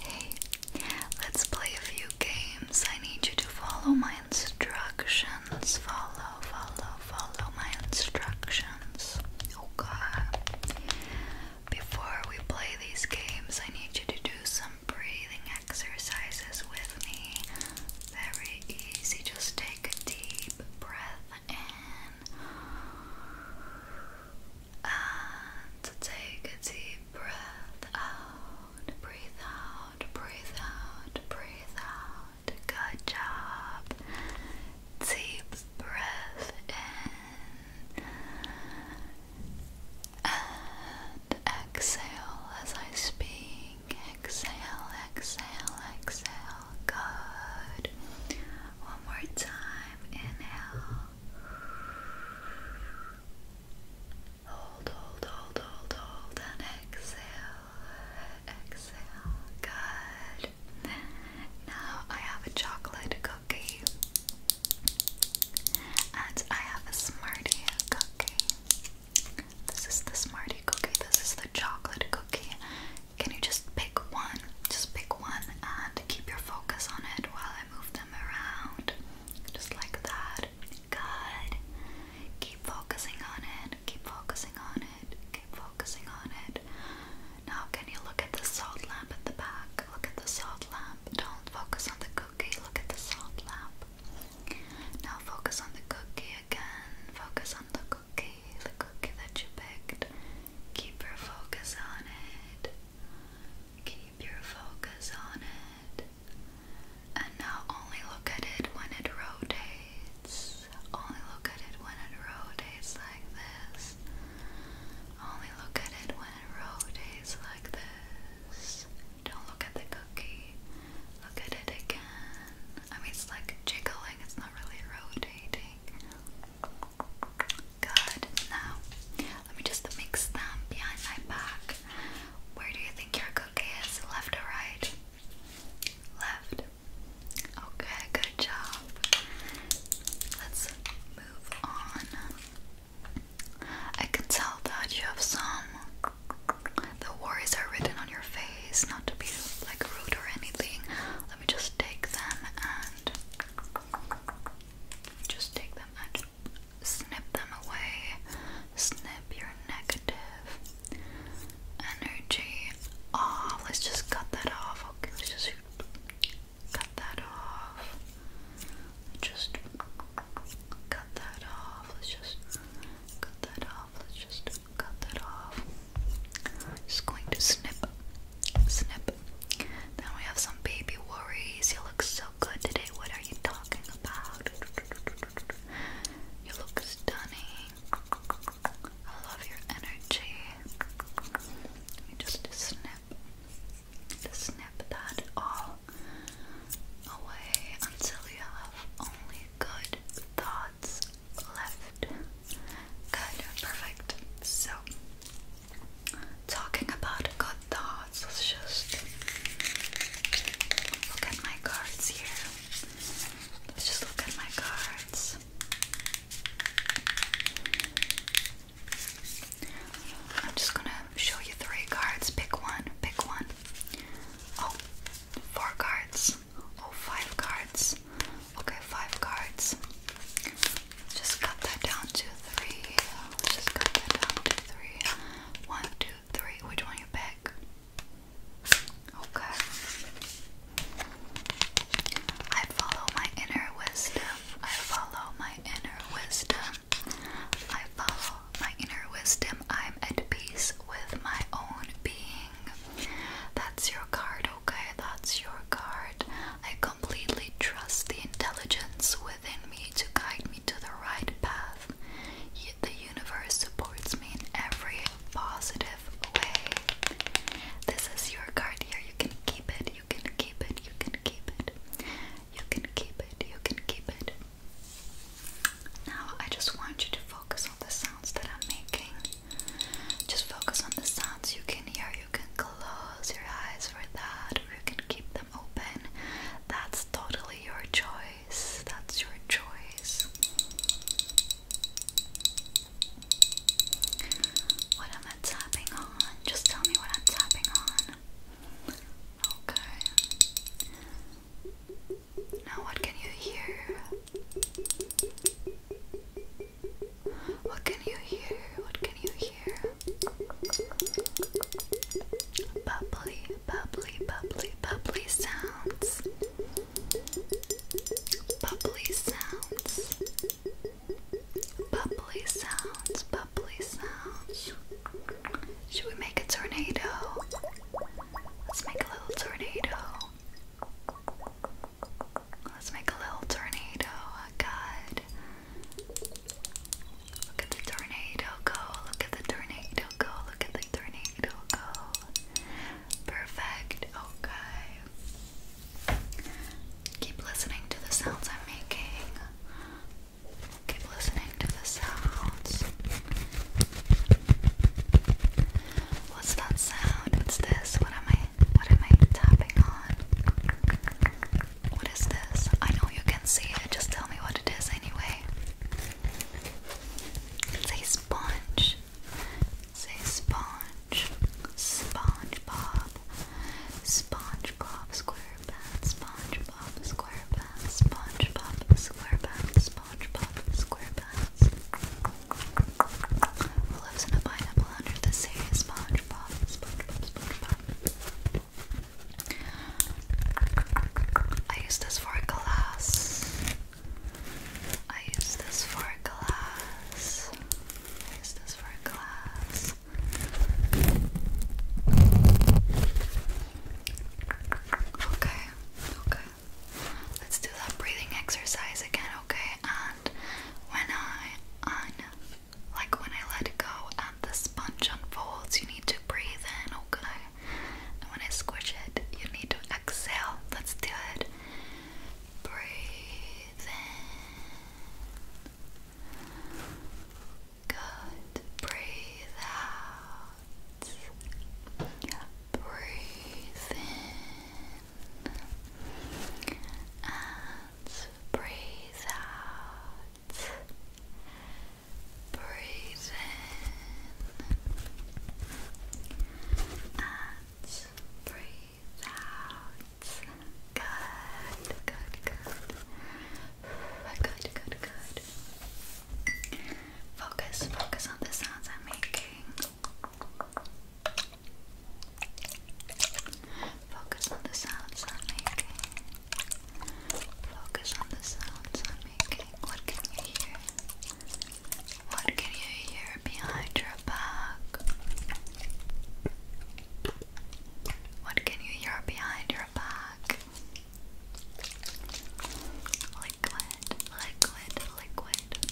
Hey, let's play a few games. I need you to follow my instructions. Follow, follow, follow my instructions. Okay. Before we play these games, I need you to do some breathing exercises with me. Very easy. Just take a deep breath in. And take a deep breath out, breathe out, breathe out, breathe out. Good job. Deep breath in. And exhale as I speak. Exhale, exhale, exhale. Good. One more time. Inhale. Hold, hold, hold, hold, hold, and exhale, exhale. Good. Now I have a chocolate cookie, and I have a Smartie cookie. This is the Smartie cookie. This is the chocolate cookie. Can you just pick one just pick one and keep your focus on it while I move them around. Just like that. Good. Keep focusing on it. Keep focusing on it. Keep focusing on it. Now, can you look at the salt lamp at the back? Look at the salt lamp. Don't focus on the cookie. Look at the salt lamp. Now, focus on the cookie again. Focus on the cookie. The cookie that you picked. Keep your focus on it. Keep your focus on it and now only look at it when it rotates. Only look at it when it rotates like this. Only look at it when it rotates like this. Don't look at the cookie. Look at it again. I mean, it's like jiggling, it's not really rotating. Good. Now, let me just mix them behind my back. Where do you think your cookie is? Left or right? Left. Okay, good job. Let's move on. I can tell that you have some. The worries are written on your face, not to be like rude or anything. Let me just take them and just take them and snip them away. Snip your negative energy off. Let's just cut that off. Okay, let's just cut that off. Just cut that off. Let's just cut that off. Let's just cut that off. Just going to snip Snip. Then we have some baby worries. You look so good today. What are you talking about? You look stunning. I love your energy. Let me just snip. Just snip that all away until you have only good thoughts left. Good, perfect. So talking about good thoughts, let just look at my cards here. Let's just look at my cards. I'm just gonna show you three cards. Pick one, pick one. Oh, four cards. Oh, five cards. Okay, five cards. Just cut that down to 3 just cut that down to three. One, two, three. Which one you pick? Okay. I follow my inner wisdom. I follow my inner wisdom. I follow my inner wisdom. I'm at peace with my own being. That's your card, okay? That's your card. I completely trust the intelligence within me to guide me to the right path. Yet the universe supports me in every positive way. This is your card here. You can keep it. You can keep it. You can keep it. You can keep it. You can keep it. Now I just want you to focus on the sounds that I'm making. Just focus on the sounds you can here you can close your eyes for that or you can keep them open. That's totally your choice. That's your choice. What am I tapping on? Just tell me what I'm tapping on. Okay. Now, what can you hear? What can you hear? What can you hear? Bubbly, bubbly, bubbly, bubbly sounds. Bubbly sounds. Bubbly sounds, bubbly sounds. Should we make a tornado? Let's make a little tornado. Let's make a little tornado. Oh, God. Look at the tornado go, look at the tornado go, look at the tornado go. Perfect, okay. Keep listening to the sounds I'm making. Keep listening to the sounds. What's that sound? What's this? What am I what am I tapping on? What is this? I know you can see it, just tell me what it is anyway. It's a sponge. It's sponge. SpongeBob. SpongeBob SquarePants. SpongeBob SquarePants. SpongeBob SquarePants. SpongeBob SquarePants. lives in a pineapple under the sea? SpongeBob. SpongeBob. SpongeBob. I use this for glass. I use this for glass. I use this for glass. Okay, okay. Let's do that breathing exercise again, okay? And when I, I like when I let go and the sponge unfolds, you need to breathe in, okay? And when I squish it, you need to exhale. Let's do it. Breathe in. Good. Breathe out. Breathe in. And Breathe out. Breathe in. And breathe out. Good, good, good. Good, good, good. Focus, focus on the sounds I'm making. Focus on the sounds I'm making. Focus on the sounds I'm making. What can you hear? What can you hear behind your back? What can you hear behind your back? Liquid, liquid, liquid.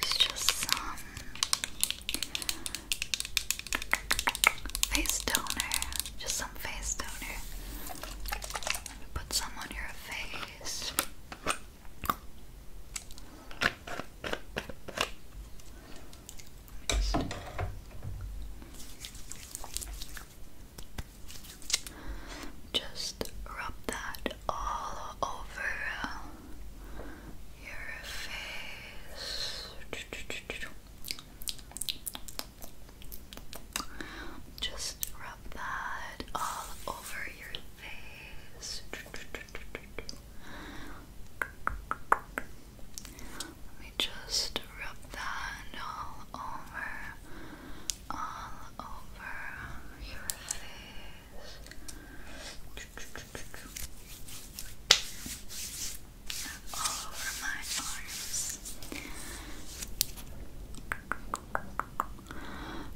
It's just some face toner. Just some face toner. Let me put some on your face. Just rub that all over uh, your face. Just rub that all over your face. Let me just rub that all over all over your face all over my arms.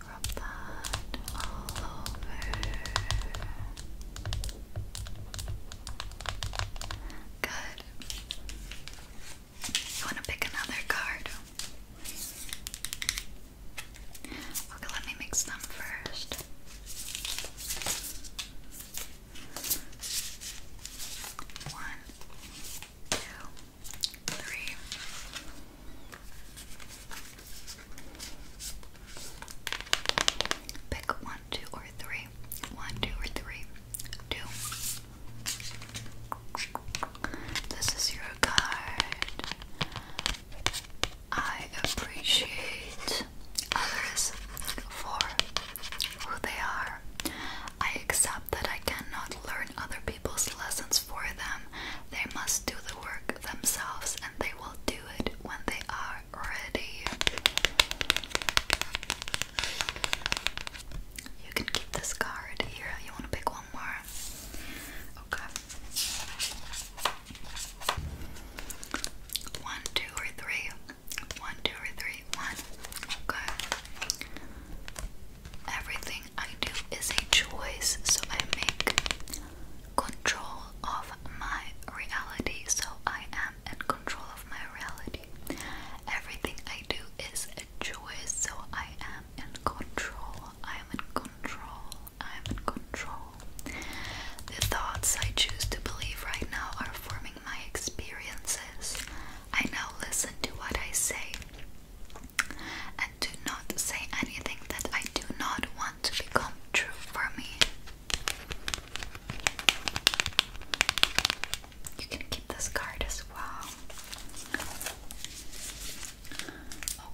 Rub that all over. Good. You want to pick another card? Okay, let me mix them first. One, two, three. Pick one, two, or three. One, two, or three. Two. This is your card. I appreciate others for who they are. I accept that I cannot learn other people's lessons for them. They must do the work themselves and they will do it when they are ready. You can keep this card here. You want to pick one more? Okay. One, two, or three. One, two, or three. One. Okay. Everything I do is a choice, so I make control of my reality. So I am in control of my reality. Everything I do is a choice, so I am in control I am in control. I am in control. The thoughts I choose to believe right now are forming my experiences. I now listen to what I say and do not say anything that I do not want to become true for me. You can keep this card as well.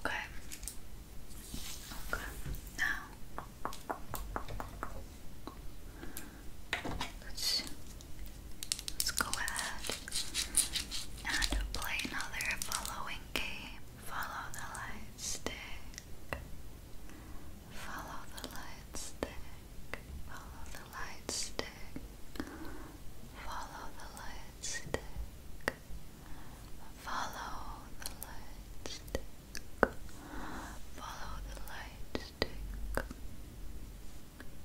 Okay. Okay. Now let's let's go ahead and play another following game. Follow the light stick. Follow the light stick. Follow the light stick. Follow the light stick. Follow the light stick. Follow the light stick.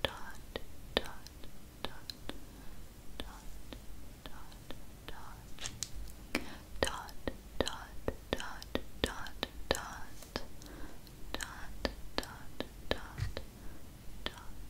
Dot, dot, dot, dot, dot, dot. Dot, dot, dot, dot, dot. Dot, dot,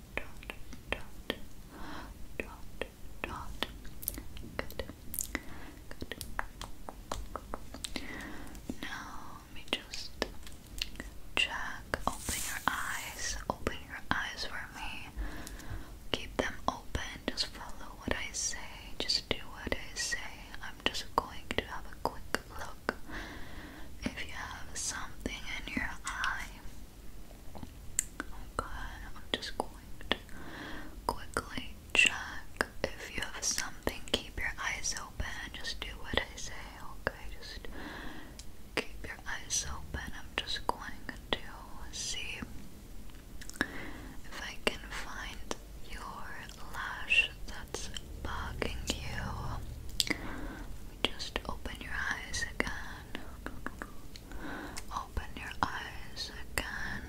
Now let me just check. Open your eyes. Open your eyes for me. Keep them open. Just follow what I say. Just do what I say. I'm just going to have a quick look. If you have something in your eye, Okay, oh I'm just going to quickly check if you have something. Keep your eyes open just do what I say, okay? Just keep your eyes open. I'm just going to see if I can find your lash that's bugging you. Just open your eyes again. Open your eyes again.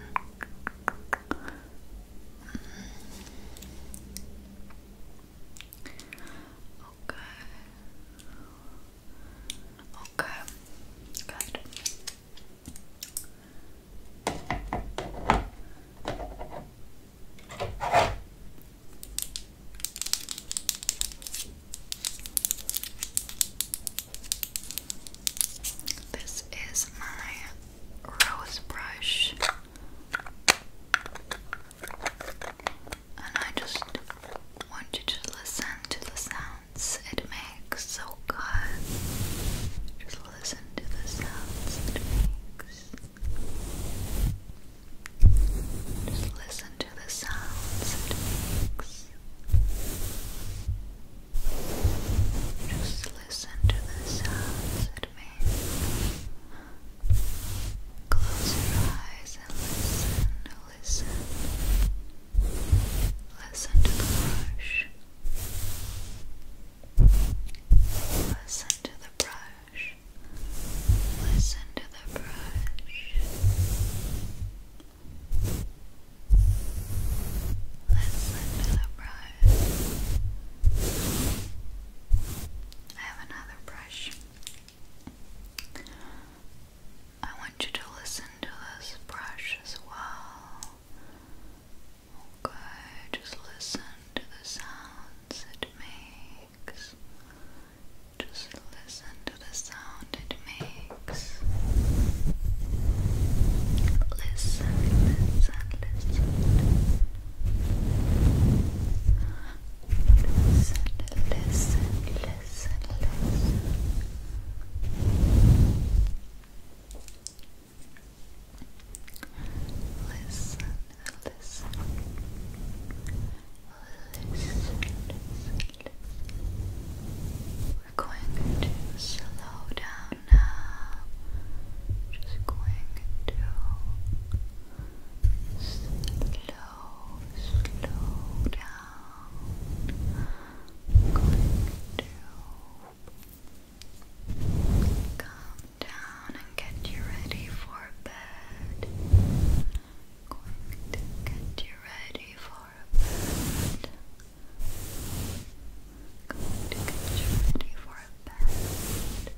Okay. Okay. Good. This is my rose brush, and I just want you to listen to the sounds it makes. So good. Just listen to the sounds it makes. Just listen to the sounds it makes. Just listen to the sounds it makes. Close your eyes and listen, listen. Listen to the brush. Listen to the brush. Listen to the brush. Listen to the brush. I have another brush. I want you to listen to this brush as well. Okay, just listen to the sounds it makes makes. Just listen to the sound it makes. Listen, listen, listen. Listen, listen, listen, listen. Listen, listen. We're going to slow down now. Just going to slow, slow down. Going to calm down and get you ready for bed going to get you ready for a bed. Going to get you ready for a bed.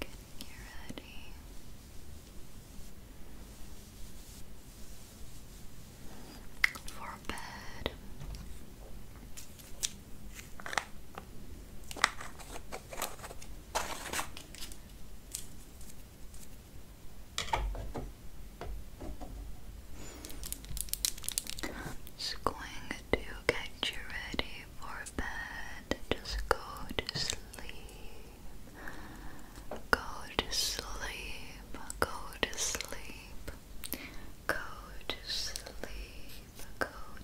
Getting you ready. For bed. Just going to get you ready for bed. Just go to sleep. Go to sleep. Go to sleep. Go to sleep. Go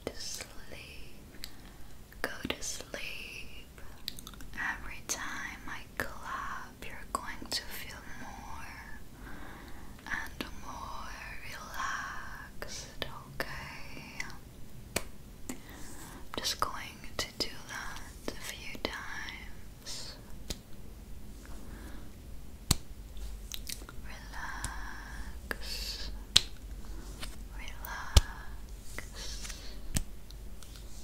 to sleep. Go to sleep. Every time I clap, you're going to feel more and more relaxed, okay? I'm just going to do that a few times. Relax, relax,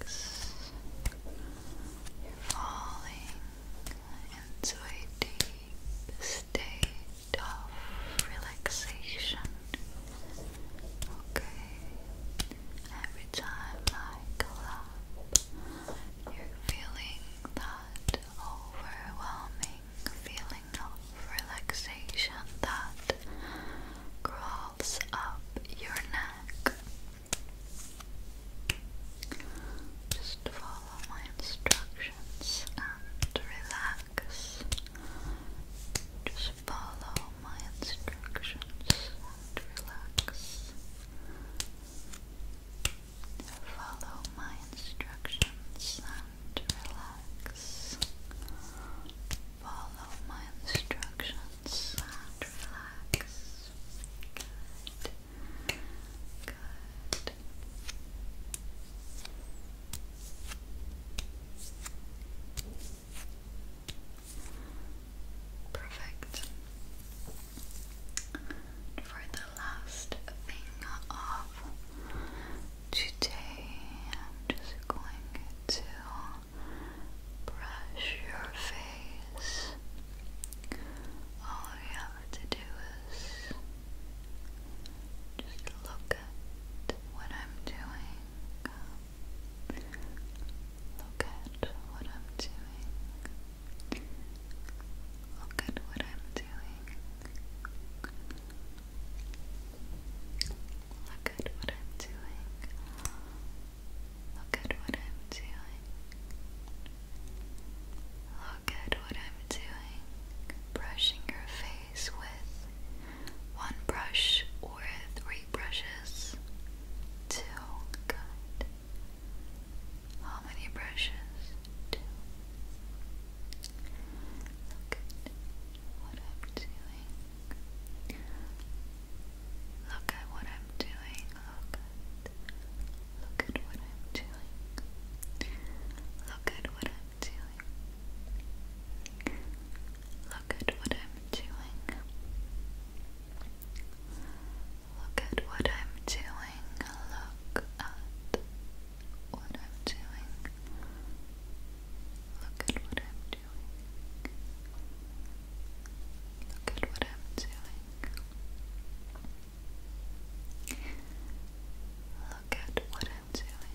Relax. You're falling into a deep state of relaxation. Okay. Every time I clap, you're feeling that overwhelming feeling of relaxation that crawls up your neck. Just follow my instructions and relax. Just follow my instructions and relax. Follow my instructions to relax. Follow my instructions relax. Perfect. For the last thing of Today I'm just going to brush your face. All you have to do is just look at what I'm doing. Look at what I'm doing. Look at what I'm doing. Look at what I'm doing. Look at what I'm doing. Look at what I'm doing. Brushing your face with one brush or three brushes. Two. Good. How many brushes? Two. Look at what I'm doing. Look at what I'm doing. Look at what I'm doing. Look at what I'm doing. Look at what I'm doing. Look at what I'm doing. Look at what I'm doing. Look at what I'm doing. Look at what I'm doing. Look at what I'm doing. Look at what I'm doing.